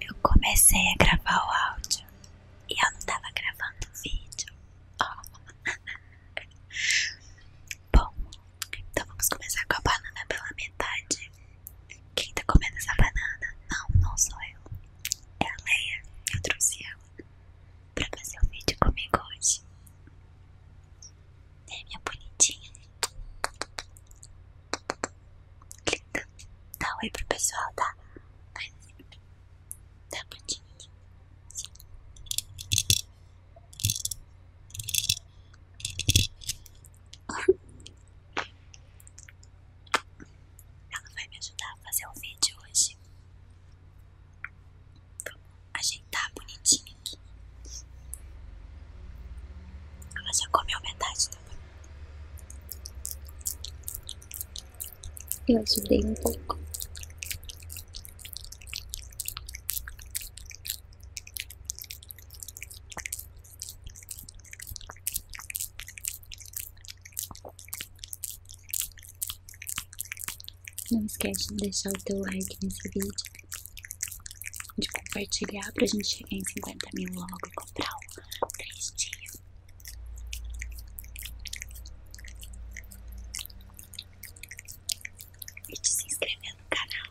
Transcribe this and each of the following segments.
Eu comecei a gravar o áudio e eu não estava gravando o vídeo. Bom, então vamos começar com a banana pela metade. Quem está comendo essa banana? Não, não sou eu. É a Leia. Eu trouxe ela para fazer o vídeo comigo hoje né, minha bonitinha? Linda. Dá oi pro pessoal, tá? Faz assim. Dá Ela vai me ajudar a fazer o vídeo hoje. Vamos ajeitar bonitinho aqui. Ela ah, já comeu metade da Eu ajudei um pouco. Não esquece de deixar o teu like nesse vídeo de compartilhar pra gente chegar em cinquenta mil logo e comprar o 3 E te se inscrever no canal.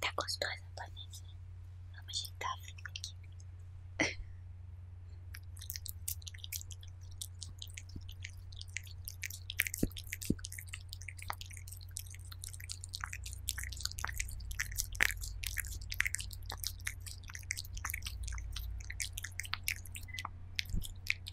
Tá gostosa a Vamos ajeitar aqui.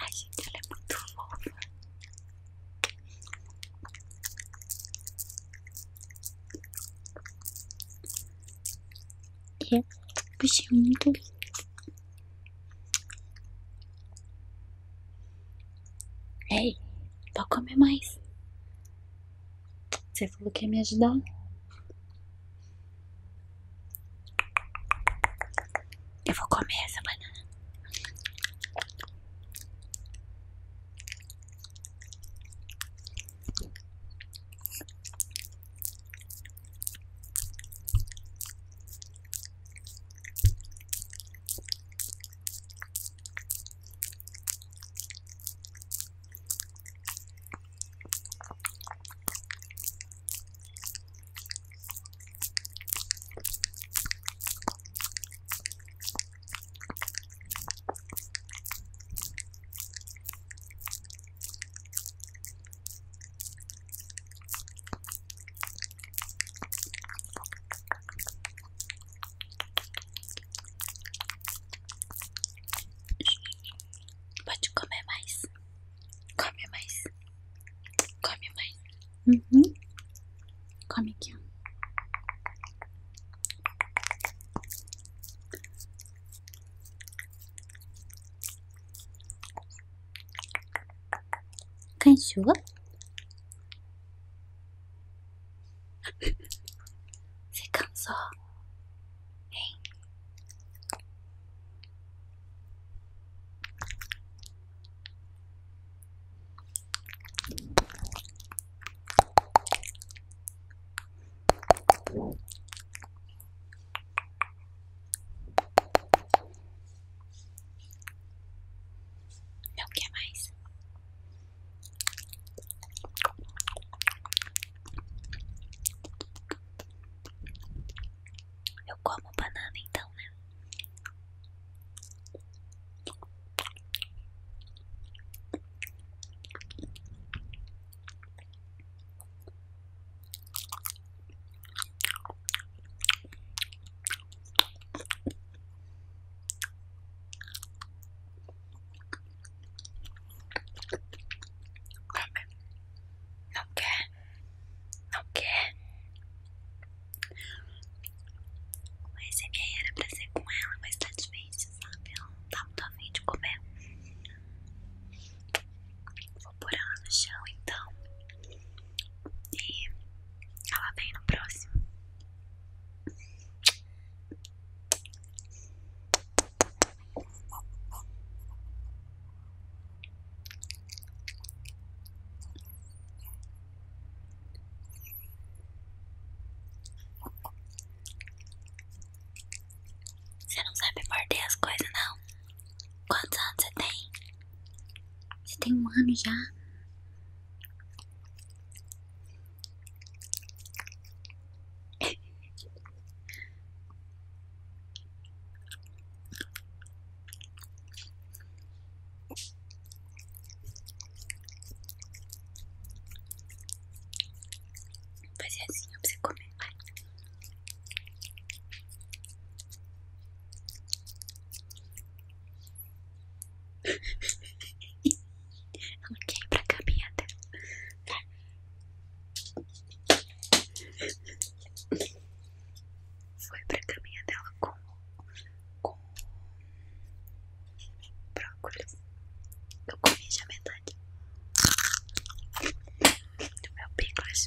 Ai, gente, ela é muito fofa. E é, o bichinho é muito lindo. Ei, pode comer mais. Você falou que ia me ajudar? Eu vou comer essa banana. Pode comer mais. Come mais. Come mais. Uhum. Come aqui, ó. Cachorro. Você cansou? Hein? Não quer mais. Eu como banana então, né? Não quer? Não quer? Esse aqui era pra ser com ela, mas tá difícil, sabe? Ela não tá muito afim de comer. Vou pôr ela no chão então. E ela vem no próximo. Você não sabe morder as coisas, não? Quantos anos você tem? Você tem um ano já? Fazer assim pra você comer, vai. Ela quer ir pra foi pra caminha dela com, com brócolis. Eu comi já metade do meu picles.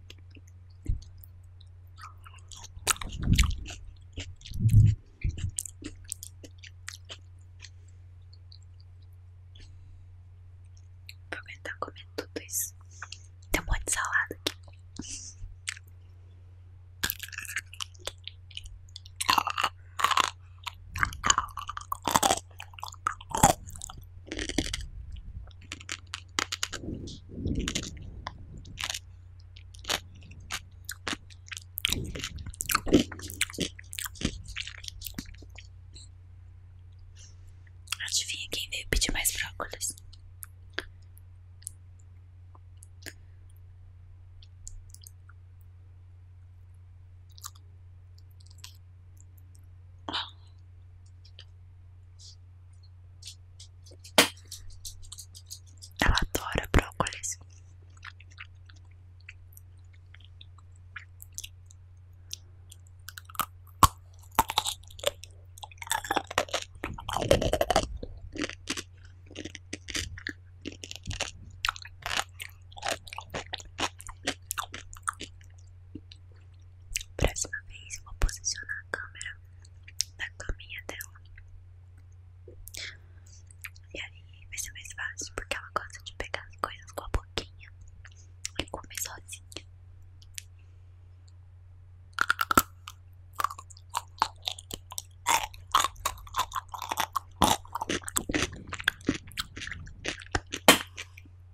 Vou aguentar comer tudo isso. Tem um monte de salada aqui. Adivinha quem veio pedir mais brócolis? Ela adora brócolis. Próxima vez eu vou posicionar a câmera na caminha dela. E aí vai ser mais fácil, porque ela gosta de pegar as coisas com a boquinha e comer sozinha.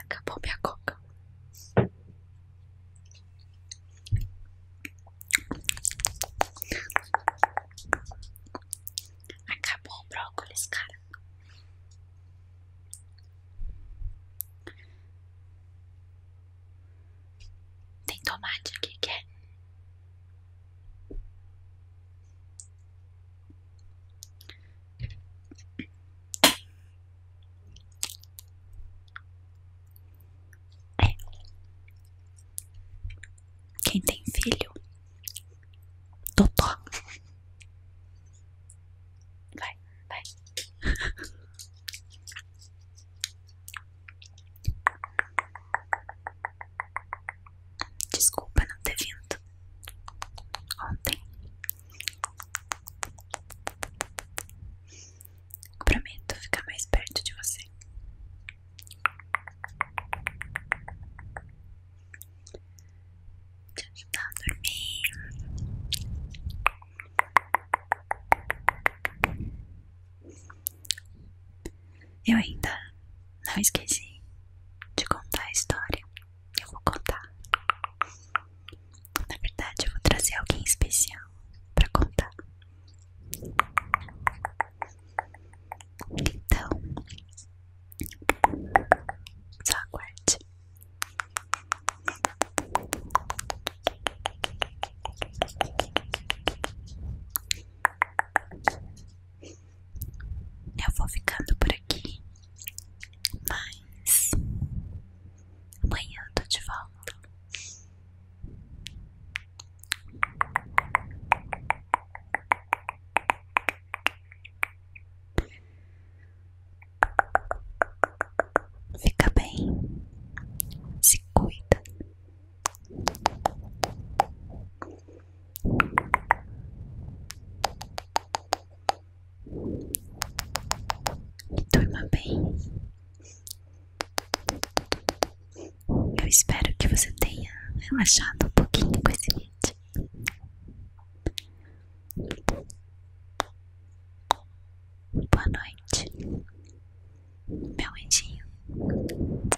Acabou minha coca. Acabou o brócolis, cara. Tem tomate aqui, quer? É. Quem tem filho? Totó. Vai, vai. Desculpa não ter vindo ontem. Prometo ficar mais perto de você. Te ajudar a dormir. Eu ainda não esqueci de contar a história. Eu vou contar. Na verdade, eu vou trazer alguém especial para contar. Então, só aguarde eu vou ficando por aqui, mas amanhã eu tô de volta. Fica bem, se cuida Durma bem. Eu espero que você tenha relaxado um pouquinho com esse vídeo. Boa noite, meu anjinho.